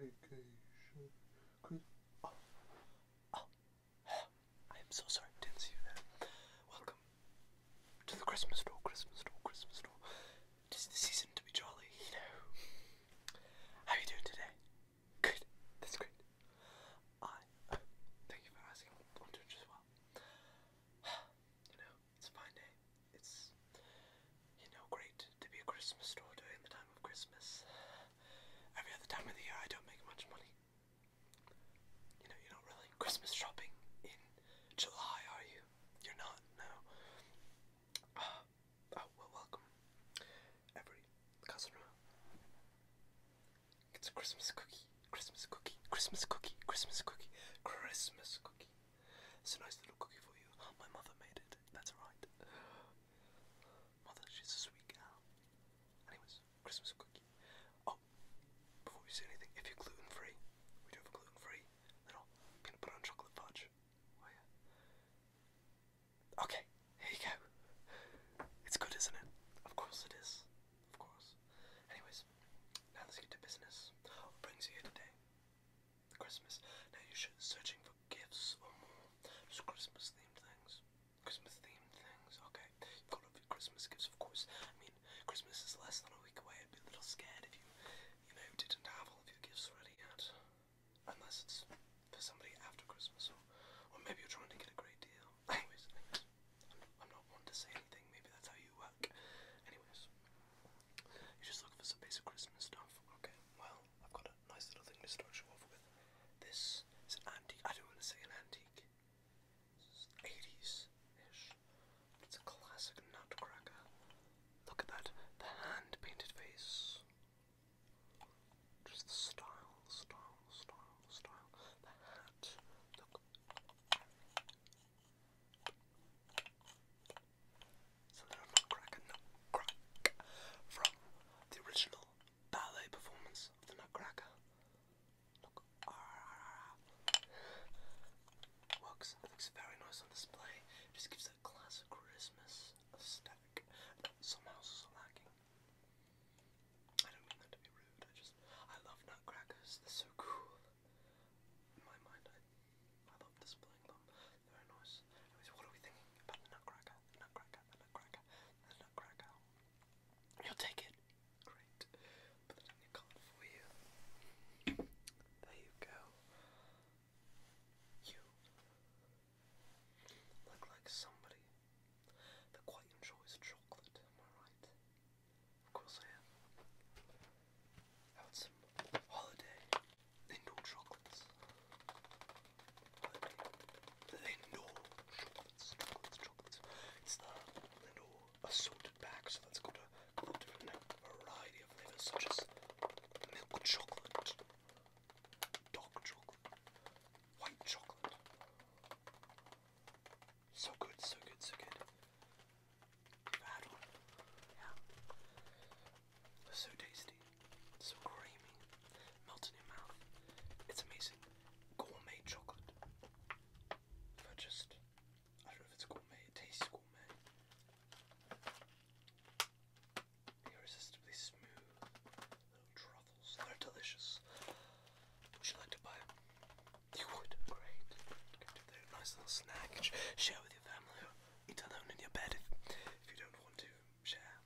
Oh, oh, oh, I am so sorry, I didn't see you there. Welcome to the Christmas store, Christmas store, Christmas store. It is the season to be jolly, you know. How are you doing today? Good, that's great. I, thank you for asking, I'm doing just well. You know, it's a fine day. It's you know, great to be a Christmas store during the time of Christmas. Every other time of the year, I don't make much money. You know, you're not really Christmas shopping in July, are you? You're not, no. Uh, oh, well, welcome. Every customer gets a Christmas cookie, Christmas cookie, Christmas cookie, Christmas cookie, Christmas cookie. It's a nice little cookie for you. My mother made it. That's right. Mother, she's a sweet gal. Anyways, Christmas cookie. Oh, before we say anything, if you're gluten free, we do have a gluten free little peanut butter chocolate fudge. Oh yeah. Okay, here you go. It's good, isn't it? Of course it is. Of course. Anyways, now let's get to business. What brings you here today? Christmas. Now you should searching for gifts or more just Christmas themed things. Christmas themed things, okay. You've got a Christmas gifts of course. I mean Christmas is less than a week away. I'd be a little scared if you you know didn't have all of your gifts ready yet. Unless it's for somebody after Christmas or or maybe you're trying to get a great deal. Anyways, anyways I'm, not one to say anything, maybe that's how you work. Anyways. You just looking for some basic Christmas stuff. Okay, well, I've got a nice little thing to start off with. This is an antique. I don't want to say an antique. This is 80s-ish. It's a classic nutcracker. Look at that. The hand-painted face. Just the style, style, style, style. The hat. Look. It's a little nutcracker nutcrack from the original ballet performance of the nutcracker. Look, ah, ah, ah, looks very nice on display. just gives that classic Christmas aesthetic somehow is lacking. I don't mean that to be rude. I just I love nutcrackers. They're so cool. In my mind, I love displaying them. Very nice. what are we thinking about the nutcracker? The nutcracker, nutcracker, nutcracker. You'll take it. Great. Put that in your card for you. There you go. You look like somebody that quite enjoys chocolate, am I right? Of course I am. Out some holiday Lindor chocolates. The chocolates, chocolates, chocolates. It's the Lindor assorted bag, that's got a, variety of flavours, such as milk chocolate, dark chocolate, white chocolate. So good, so good, so good. It's so tasty. So creamy. Melt in your mouth. It's amazing. Gourmet chocolate. Not just. I don't know if it's gourmet. It tastes gourmet. Irresistibly smooth little truffles. They're delicious. Would you like to buy them? You would. Great. They're nice little snack. Share with your family eat alone in your bed if, you don't want to share.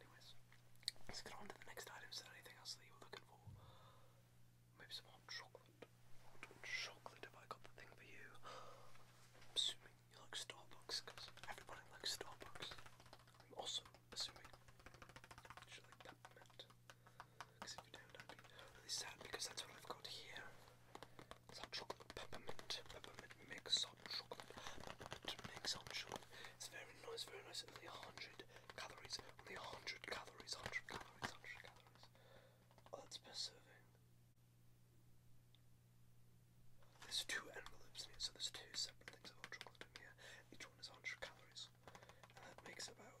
Anyways, let's get on to the next item. Is there anything else that you were looking for? Maybe some hot chocolate. Hot chocolate, have I got the thing for you? I'm assuming you like Starbucks, because everybody likes Starbucks. I'm also assuming you should like peppermint. Because if you don't, I'd be really sad, because that's what I've got here. Hot chocolate peppermint, peppermint mix, hot chocolate, peppermint mix, hot chocolate. It's very nice, very nice. Only 100 calories, only 100 calories, 100 calories, 100 calories. Oh, that's best serving. There's two envelopes in here, so there's two separate things of hot chocolate in here. Each one is 100 calories, and that makes about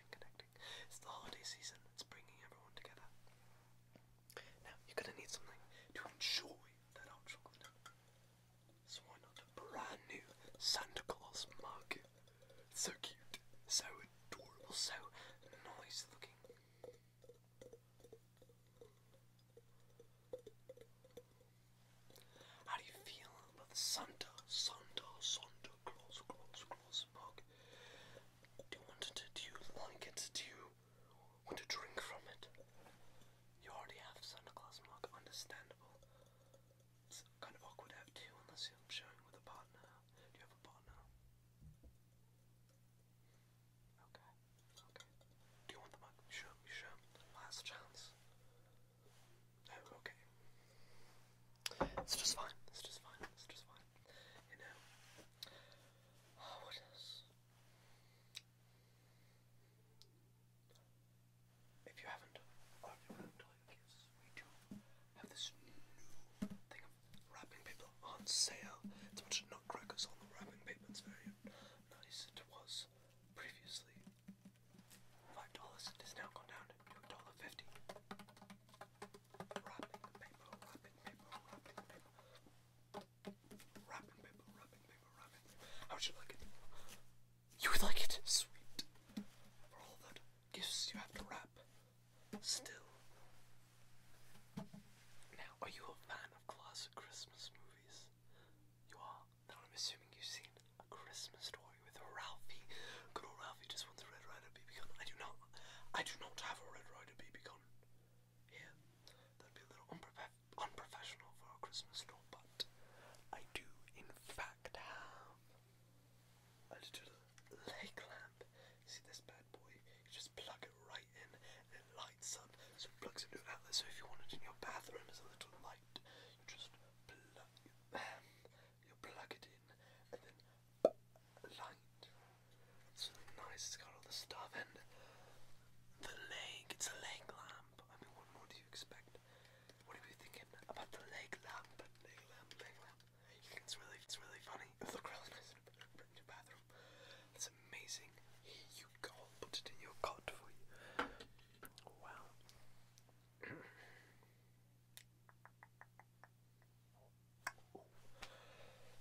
It's the holiday season. It's bringing everyone together. Now you're gonna need something to enjoy that hot chocolate. So why not a brand new Santa Claus mug? so cute, so adorable, so nice looking. How do you feel about Santa, Santa, Santa do you want it? Do you Do you want to drink from it? You already have Santa Claus mug, understandable. It's kind of awkward to have two unless you're sharing with a partner. Do you have a partner? Okay, okay. Do you want the mug? Sure, sure. Last chance okay. It's just fine. It's just fine. It's just fine. You know. Oh, what else? If you haven't already what oh, I'm telling you is we do have this new thing of wrapping paper on sale. It's a nutcrackers on the wrapping paper. It's very nice. It was previously five dollars. It now gone down to a dollar fifty would you like it? You would like it? Sweet. For all that gifts you have to wrap. Still. Now, are you a fan of classic Christmas movies? You are? Now I'm assuming you've seen a Christmas Story with Ralphie. Good old Ralphie just wants a Red Rider BB gun. I do not. I do not have a Red Rider BB gun. Here, that'd be a little unprofessional for a Christmas store, but I do in fact have a little leg lamp. see this bad boy? You just plug it right in, it lights up. So plugs into an outlet. So if you want it in your bathroom as a little light, you just plug it you plug it in and then light. It's nice, it's got all the stuff and the leg, it's a leg lamp. I mean what more do you expect? What are you thinking about the leg lamp? Leg lamp, leg lamp. it's really it's really funny. It'll look really nice in your bathroom. That's amazing. Here you go, I'll put it in your cot for you. Wow.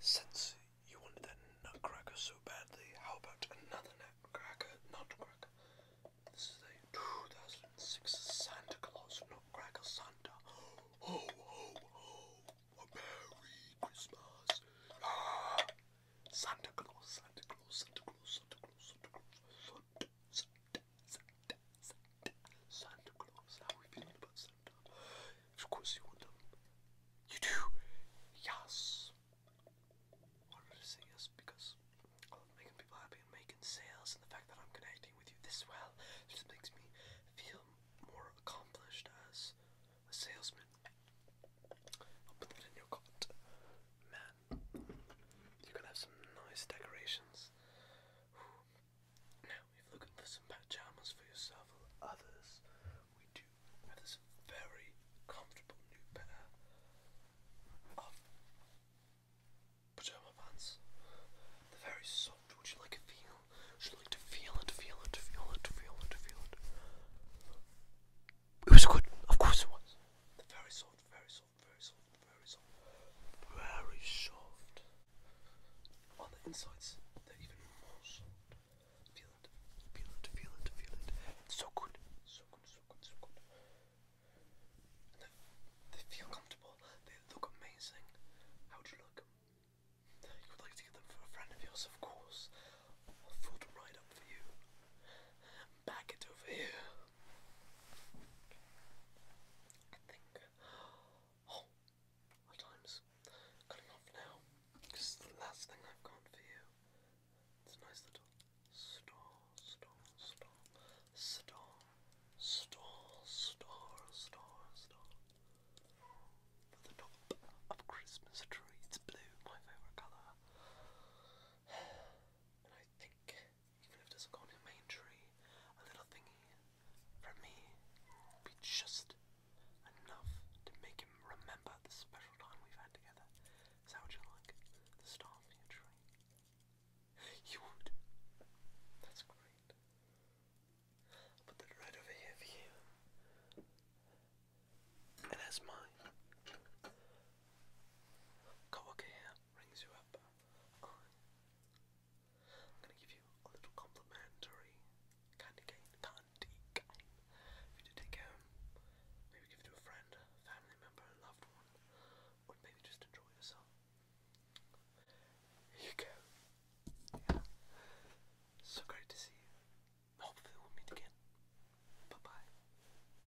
Since you wanted that nutcracker so badly, how about another nutcracker? Nutcracker. This is a 2006 Santa Claus Nutcracker Santa. Ho, ho, ho. A Merry Christmas. Ah. Santa Claus, Santa Claus, Santa Claus, Santa Claus, Santa Claus, Santa, Santa, Santa, Santa, Claus. How are we feeling about Santa? Of course you want You do? Yes. I wanted to say yes because I love making people happy and making sales and the fact that I'm connecting with you this well just makes me feel more accomplished as a salesman. I'll put that in your cart. Man, you can have some nice decorations. Now, looking for some pajamas for yourself others, we do have this very comfortable new pair very soft. Would you like a feel? Would you like to feel it, feel it, feel it, feel it, feel it? was good. Of course it was. they very soft, very soft very soft, very soft, very soft. On the insides, they're even more soft. Feel it, feel it, feel it, feel it. so good, so good, so good, so good. They, feel comfortable, they look amazing. How would you look? You would like to get them for a friend of yours, of course. I'll fold them right up for you. Back it over here. I think. Oh, my time's good enough now. Because the last thing I've got for you. It's a nice little store, store, store, store, store, store, store, store. For the top of Christmas trees. blue, my favourite colour. And I think even if it doesn't main tree, a little thingy from me be just enough to make him remember the special time we've had together. Is that what you like? The star from tree? You would? That's great. I'll put that right over here for you. And that's mine. Go look rings you up. I, am gonna give you a little complimentary candy cane, candy cane. If you to take home, maybe give it to a friend, family member, a loved one, or maybe just enjoy yourself. Here you go. So great to see you. Hopefully we'll meet again. Bye bye.